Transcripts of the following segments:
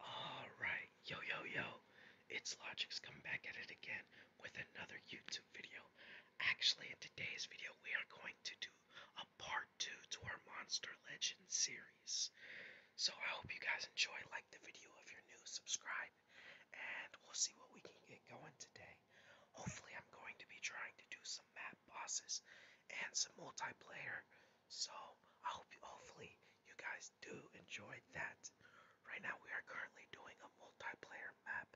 Alright, yo yo yo, it's Logics come back at it again with another YouTube video. Actually, in today's video, we are going to do a part 2 to our Monster Legends series. So I hope you guys enjoy, like the video if you're new, subscribe, and we'll see what we can get going today. Hopefully, I'm going to be trying to do some map bosses and some multiplayer so I hope hopefully you guys do enjoy that. Right now we are currently doing a multiplayer map.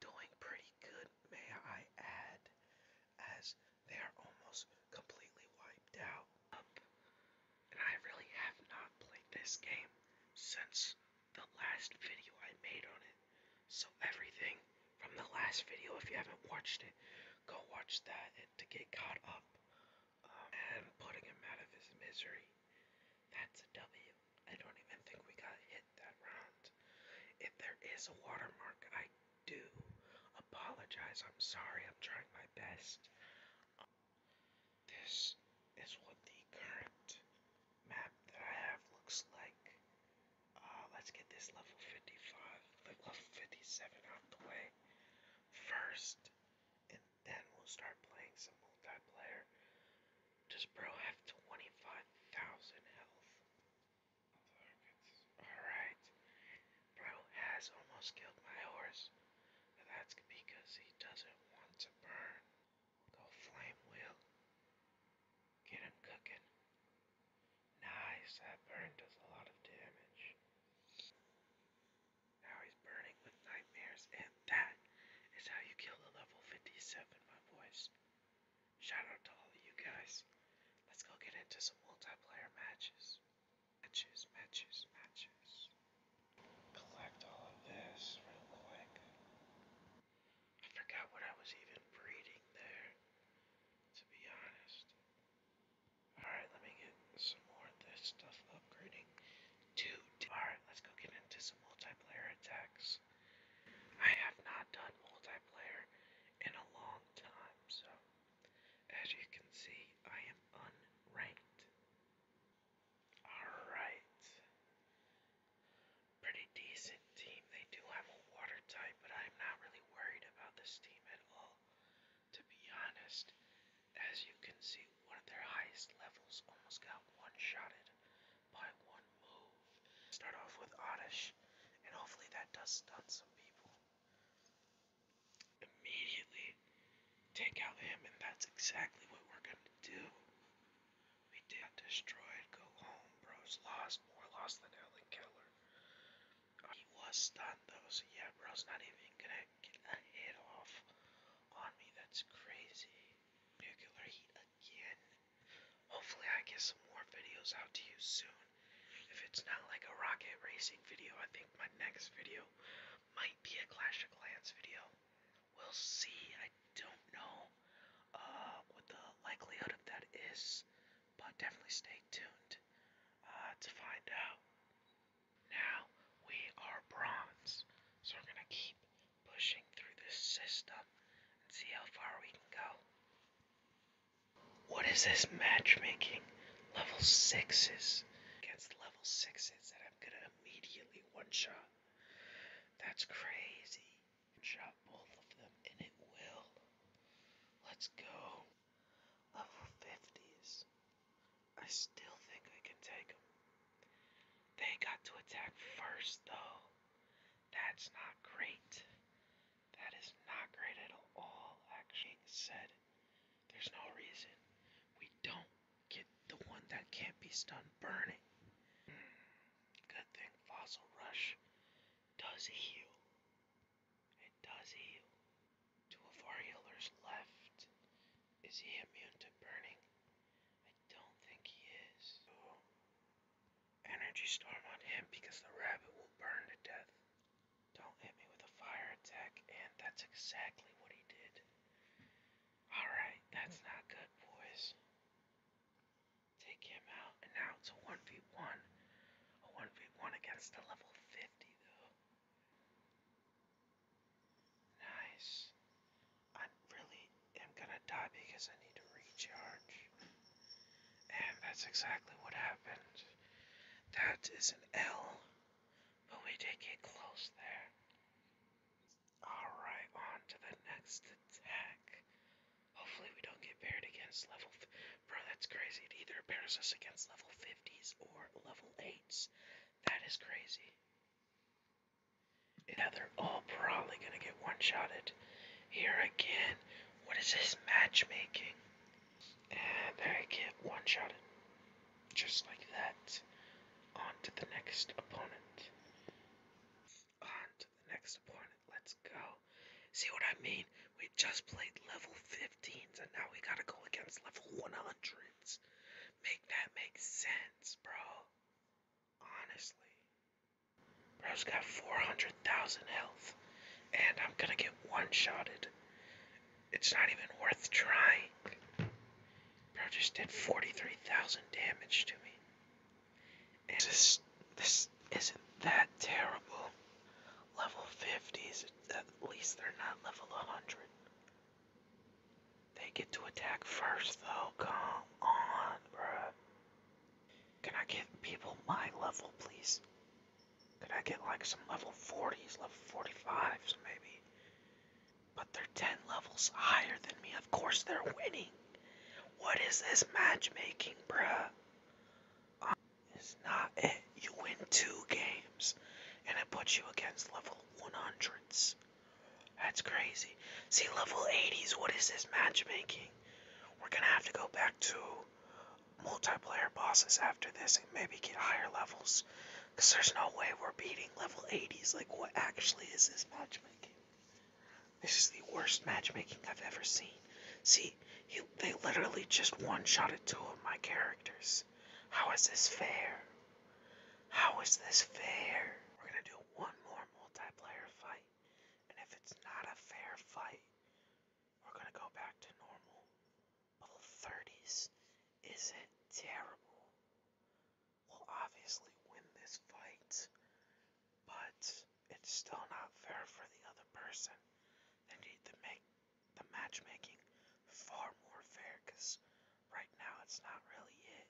Doing pretty good, may I add, as they are almost completely wiped out. And I really have not played this game since the last video I made on it. So everything from the last video. If you haven't watched it, go watch that to get caught up. Um, and putting him out of his misery. That's a W. I don't even think we got hit that round. If there is a watermark, I do apologize. I'm sorry. I'm trying my best. this is what the current map that I have looks like. Uh, let's get this level 55, level 57 out the way first, and then we'll start playing some multiplayer. Does bro have 25,000 health? Alright. Bro has almost killed my horse, but that's because he doesn't want to burn. go flame wheel. Get him cooking. Nice, that burn does a lot of damage. Now he's burning with nightmares, and that is how you kill a level 57, my boys. Shout to all of you guys. Let's go get into some multiplayer matches. Matches, matches, matches. Collect all of this real quick. I forgot what I was even breeding there, to be honest. Alright, let me get some more of this stuff upgrading. Dude, alright, let's go get into some multiplayer attacks. I have not done multiplayer in a long time, so as you can see, I am unranked. Alright pretty decent team. They do have a water type, but I'm not really worried about this team at all. To be honest, as you can see, one of their highest levels almost got one-shotted by one move. Start off with Oddish, and hopefully that does stun some people. Immediately take out him, and that's exactly what we're going to do. We got destroyed. Go home, bros. Lost. More lost than Alan Keller. Uh, he was stunned, though, so yeah, bro's not even gonna get a hit off on me. That's crazy. Nuclear heat again. Hopefully, I get some more videos out to you soon. If it's not like a rocket racing video, I think my next video might be a Clash of Clans video. We'll see. I don't know uh, what the likelihood of that is, but definitely stay tuned uh, to find out. Now we are bronze, so we're gonna keep pushing through this system and see how far we can go. What is this matchmaking? Level sixes against level sixes that I'm gonna immediately one shot. That's crazy. And both of them, and it will. Let's go. Level 50s. I still think I can take them. They got to attack first, though. That's not great. That is not great at all, actually. Said, there's no reason we don't Get the one that can't be stunned, burn it. Good thing Fossil Rush does heal. It does heal. Two of our healers left. Is he immune to burning? I don't think he is. Energy storm on him because the rabbit will burn to death. Don't hit me with a fire attack, and that's exactly what he did. Alright, that's not good, boys. Take him out. And now it's a 1v1. A 1v1 against a level 50, though. Nice. I really gonna die because I need to recharge. And that's exactly what happened. That is an L but we did get close there. Alright, on to the next attack. Hopefully we don't get paired against level... Bro, that's crazy. It either pairs us against level 50s or level 8s. That is crazy. Yeah, they're all probably gonna get one-shotted. Here again. What is this matchmaking? And I get one shot Just like that. On to the next opponent. On to the next opponent. Let's go. See what I mean? We just played level 15s and now we gotta go against level 100s. Make that make sense, bro. Honestly. Bro's got 400,000 health. And I'm gonna get one shotted. It's not even worth trying. Bro just did 43,000 damage to me. this, this isn't that terrible. Level 50s, at least they're not level 100. They get to attack first though, come on, bruh. Can I get people my level, please? Could I get like some level 40s, level 45s maybe? But they're 10 levels higher than me. Of course they're winning. What is this matchmaking, bruh? Um, it's not it. You win two games and it puts you against level 100s. That's crazy. See, level 80s, what is this matchmaking? We're gonna have to go back to multiplayer bosses after this and maybe get higher levels. Because there's no way we're beating level 80s. Like, what actually is this matchmaking? This is the worst matchmaking I've ever seen. See, he, they literally just one shot at two of my characters. How is this fair? How is this fair? We're gonna do one more multiplayer fight. And if it's not a fair fight, we're going to go back to normal. But 30s isn't terrible. We'll obviously win this fight, but it's still not fair for the other person. They need to make the matchmaking far more fair right now it's not really it.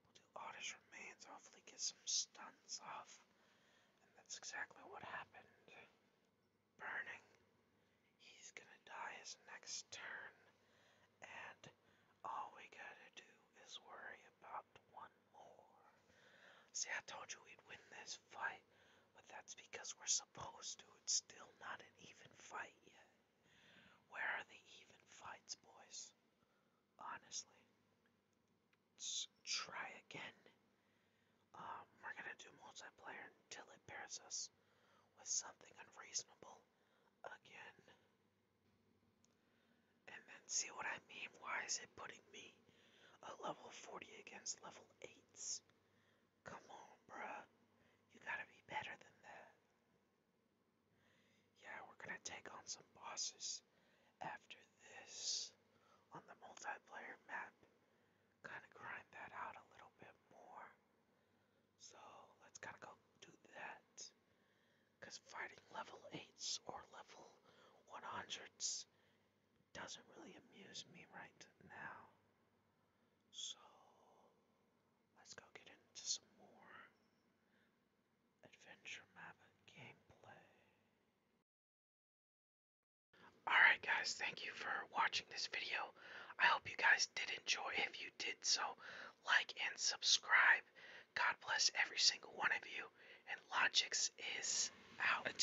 We'll do Oddish Remains, hopefully get some stuns off. And that's exactly what happened. Burning. He's gonna die his next turn. And all we gotta do is worry about one more. See, I told you we'd win this fight, but that's because we're supposed to. It's still not an even fight yet. Where are the even fights, boys? honestly. Let's try again. Um, we're gonna do multiplayer until it pairs us with something unreasonable again. And then see what I mean? Why is it putting me a level 40 against level 8s? Come on, bruh. You gotta be better than that. Yeah, we're gonna take on some bosses after this on the multiplayer map. Kind of grind that out a little bit more. So let's kind of go do that. Because fighting level 8s or level 100s doesn't really amuse me right now. So let's go get into some more adventure map gameplay. Alright guys, thank you for watching this video. I hope you guys did enjoy. If you did so, like and subscribe. God bless every single one of you. And Logix is out.